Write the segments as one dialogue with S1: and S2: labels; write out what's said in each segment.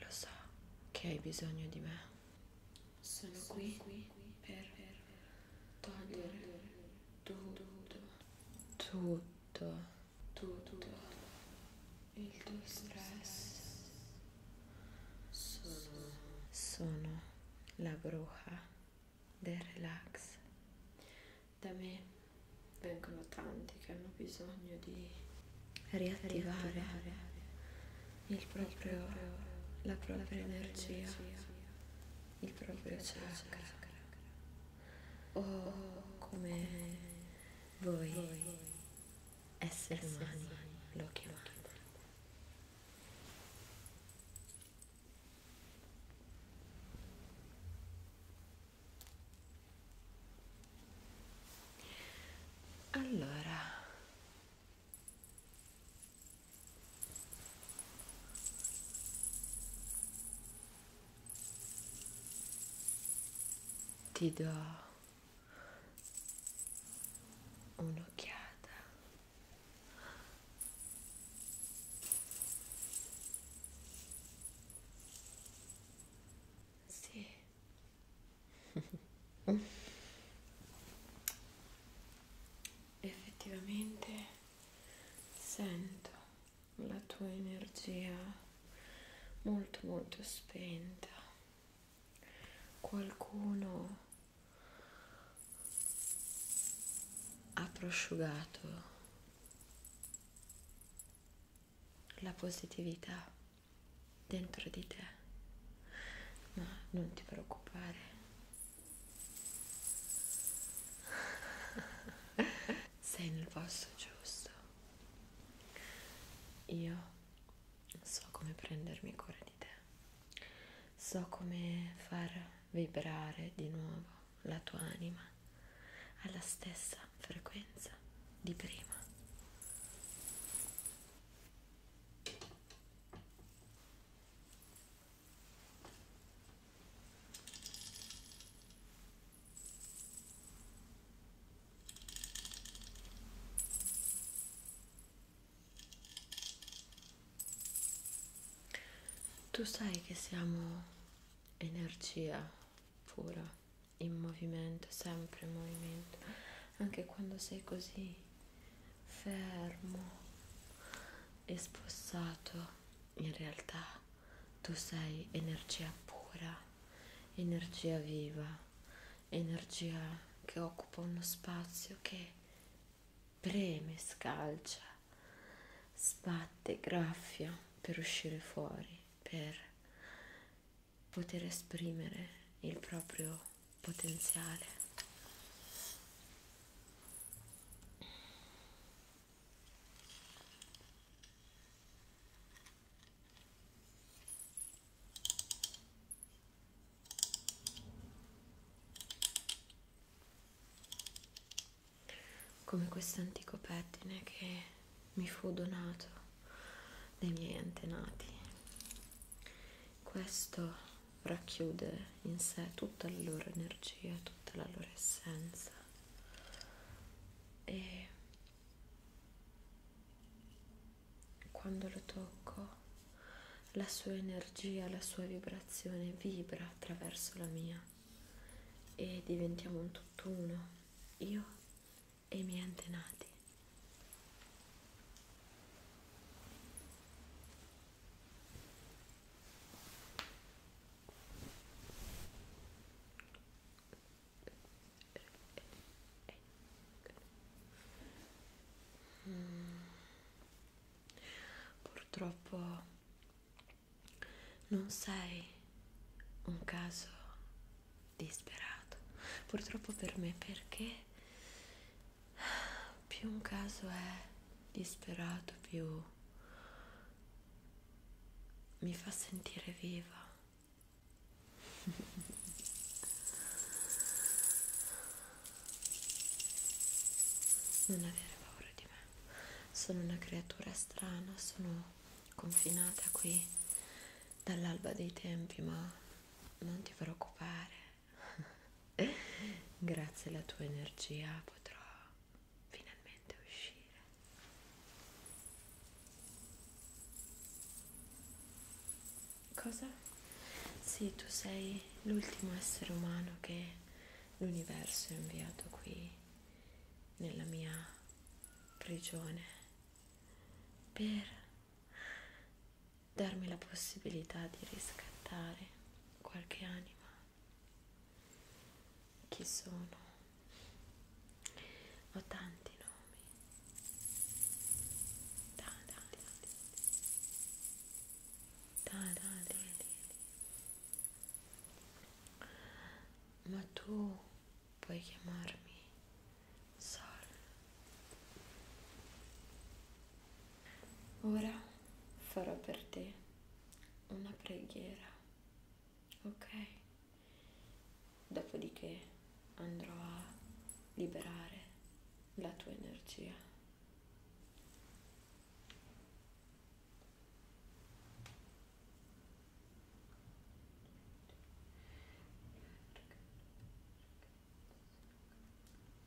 S1: Lo so che hai bisogno di me. Sono, Sono qui, qui per, per togliere, togliere tutto, tutto, tutto, il tuo stress. Sono, sono la bruja del relax. Da me vengono tanti che hanno bisogno di riattivare, riattivare il proprio, il proprio la propria, la propria energia. energia il proprio chakra. O come voi esseri umani lo chiamate. Allora, ti do un'occhiata sì effettivamente sento la tua energia molto molto spenta qualcuno ha prosciugato la positività dentro di te ma non ti preoccupare sei nel posto giusto. Io so come prendermi cura di te. So come far vibrare di nuovo la tua anima alla stessa frequenza di prima. Tu sai che siamo energia pura, in movimento, sempre in movimento, anche quando sei così fermo e spossato in realtà tu sei energia pura, energia viva, energia che occupa uno spazio che preme, scalcia, sbatte, graffia per uscire fuori, per poter esprimere il proprio potenziale come questo antico pettine che mi fu donato dai miei antenati questo racchiude in sé tutta la loro energia, tutta la loro essenza e quando lo tocco la sua energia, la sua vibrazione vibra attraverso la mia e diventiamo un tutt'uno, io e i miei antenati. Purtroppo non sei un caso disperato, purtroppo per me perché più un caso è disperato, più mi fa sentire viva. Non avere paura di me. Sono una creatura strana, sono confinata qui dall'alba dei tempi, ma non ti preoccupare. Grazie alla tua energia potrò finalmente uscire cosa? sì tu sei l'ultimo essere umano che l'universo ha inviato qui nella mia prigione per darmi la possibilità di riscattare qualche anima chi sono? Ho tanti nomi. Tanti, tanti, tanti. Tanti. Ma tu puoi chiamarmi Sol. Ora farò per te una preghiera, ok? Dopodiché andrò a liberare la tua energia.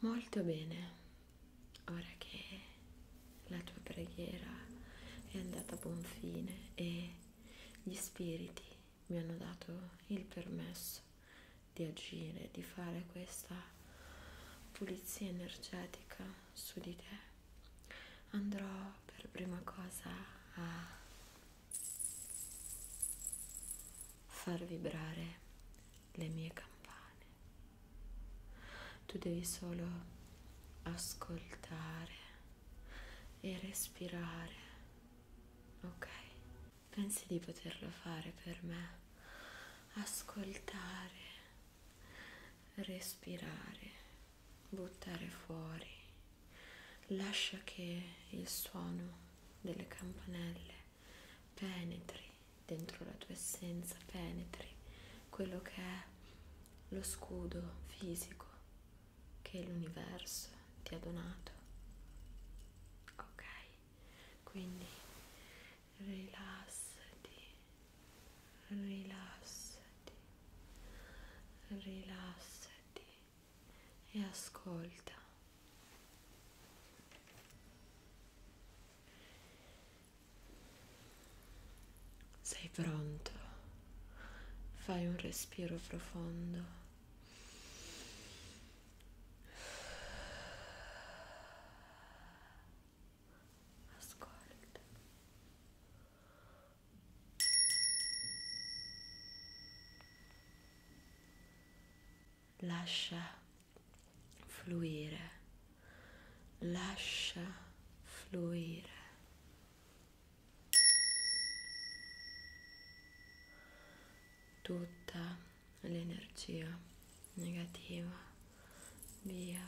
S1: Molto bene, ora che la tua preghiera è andata a buon fine e gli spiriti mi hanno dato il permesso di agire, di fare questa pulizia energetica su di te, andrò per prima cosa a far vibrare le mie campane. Tu devi solo ascoltare e respirare, ok? pensi di poterlo fare per me? Ascoltare, respirare, buttare fuori. Lascia che il suono delle campanelle penetri dentro la tua essenza, penetri quello che è lo scudo fisico che l'universo ti ha donato. Ok quindi rilassati rilassati rilassati e ascolta sei pronto fai un respiro profondo Ascolta. Lascia fluire. Lascia fluire. Tutta l'energia negativa via.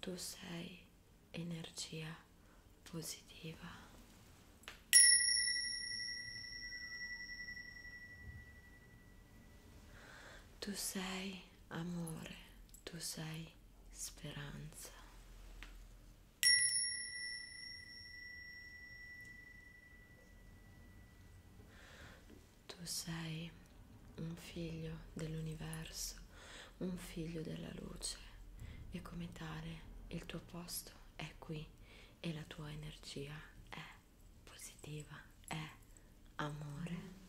S1: Tu sei energia positiva. Tu sei amore, tu sei speranza. Tu sei un figlio dell'universo, un figlio della luce e come tale il tuo posto è qui e la tua energia è positiva, è amore.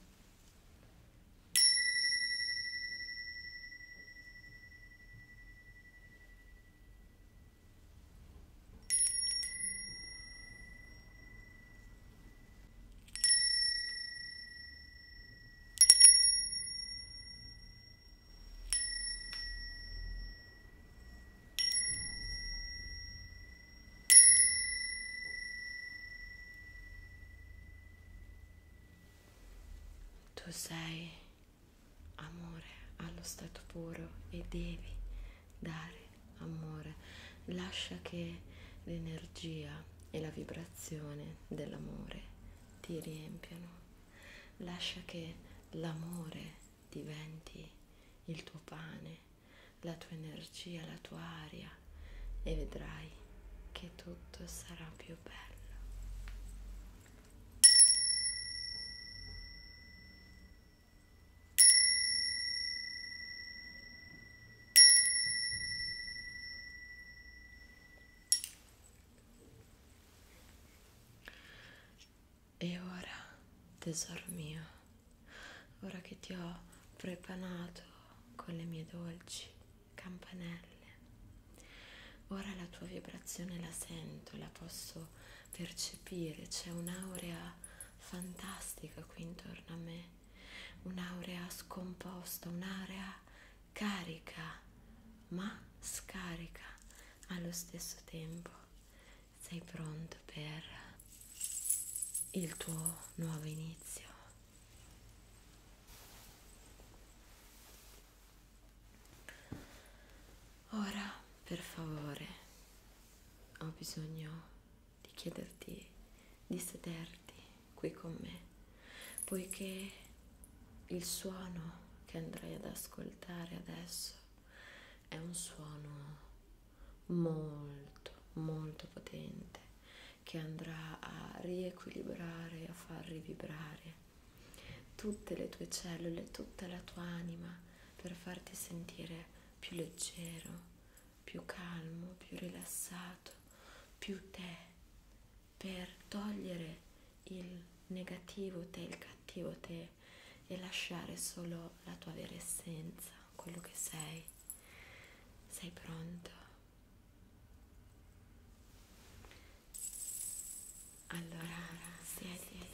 S1: Tu sei amore allo stato puro e devi dare amore, lascia che l'energia e la vibrazione dell'amore ti riempiano, lascia che l'amore diventi il tuo pane, la tua energia, la tua aria e vedrai che tutto sarà più bello. E ora, tesoro mio, ora che ti ho prepanato con le mie dolci campanelle, ora la tua vibrazione la sento, la posso percepire, c'è un'aurea fantastica qui intorno a me, un'aurea scomposta, un'area carica ma scarica allo stesso tempo. Sei pronto per il tuo nuovo inizio. Ora, per favore, ho bisogno di chiederti di sederti qui con me, poiché il suono che andrai ad ascoltare adesso è un suono molto, molto potente che andrà a riequilibrare, a far rivibrare tutte le tue cellule, tutta la tua anima per farti sentire più leggero, più calmo, più rilassato, più te per togliere il negativo te, il cattivo te e lasciare solo la tua vera essenza, quello che sei. Sei pronto? Allora, siediti.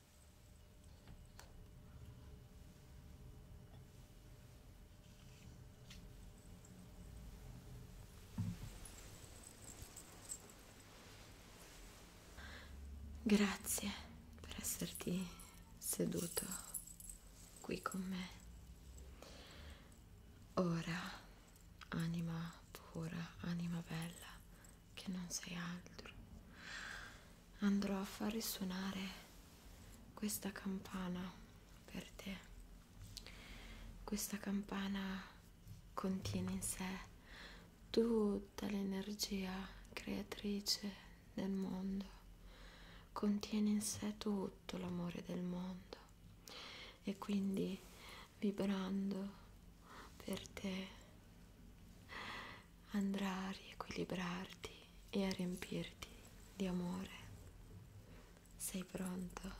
S1: Grazie per esserti seduto qui con me. Ora, anima pura, anima bella, che non sei altro. Andrò a far risuonare questa campana per te. Questa campana contiene in sé tutta l'energia creatrice del mondo, contiene in sé tutto l'amore del mondo e quindi vibrando per te andrà a riequilibrarti e a riempirti di amore. Sei pronto?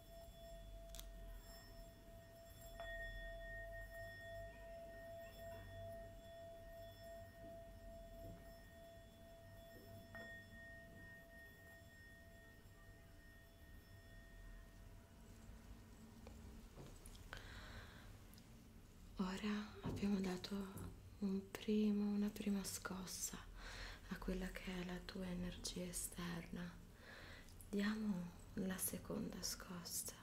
S1: Ora abbiamo dato un primo, una prima scossa a quella che è la tua energia esterna diamo la seconda scossa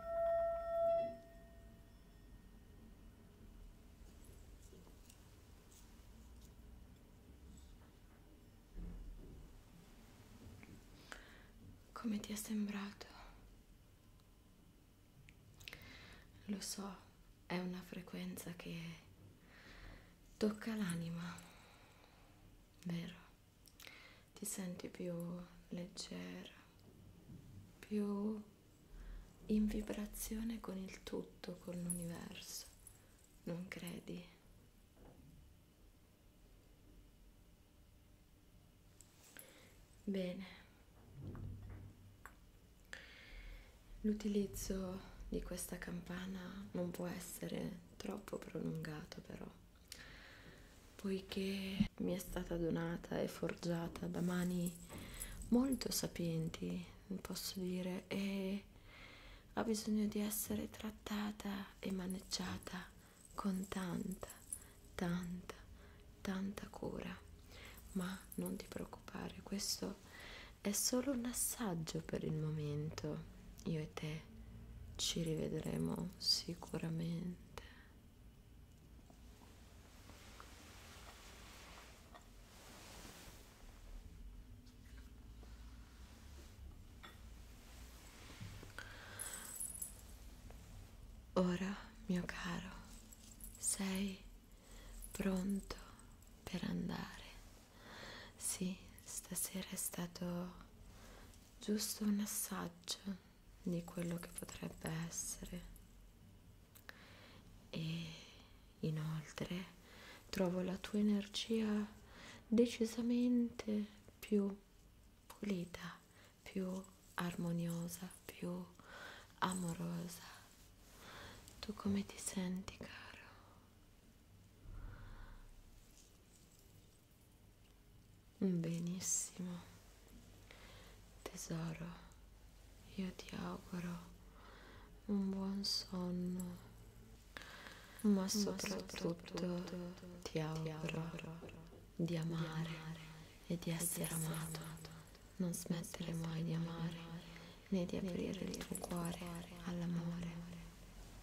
S1: Come ti è sembrato? Lo so, è una frequenza che tocca l'anima, vero? ti senti più leggera, più in vibrazione con il tutto, con l'universo, non credi? Bene, l'utilizzo di questa campana non può essere troppo prolungato però poiché mi è stata donata e forgiata da mani molto sapienti, posso dire, e ha bisogno di essere trattata e maneggiata con tanta, tanta, tanta cura. Ma non ti preoccupare, questo è solo un assaggio per il momento. Io e te ci rivedremo sicuramente Ora, mio caro, sei pronto per andare. Sì, stasera è stato giusto un assaggio di quello che potrebbe essere e inoltre trovo la tua energia decisamente più pulita, più armoniosa, più amorosa. Tu come ti senti, caro? Mm, benissimo, tesoro, io ti auguro un buon sonno, ma soprattutto, soprattutto ti, auguro ti auguro di amare, di amare e di essere, essere amato. amato. Non smettere mai di amare né di aprire il tuo cuore all'amore.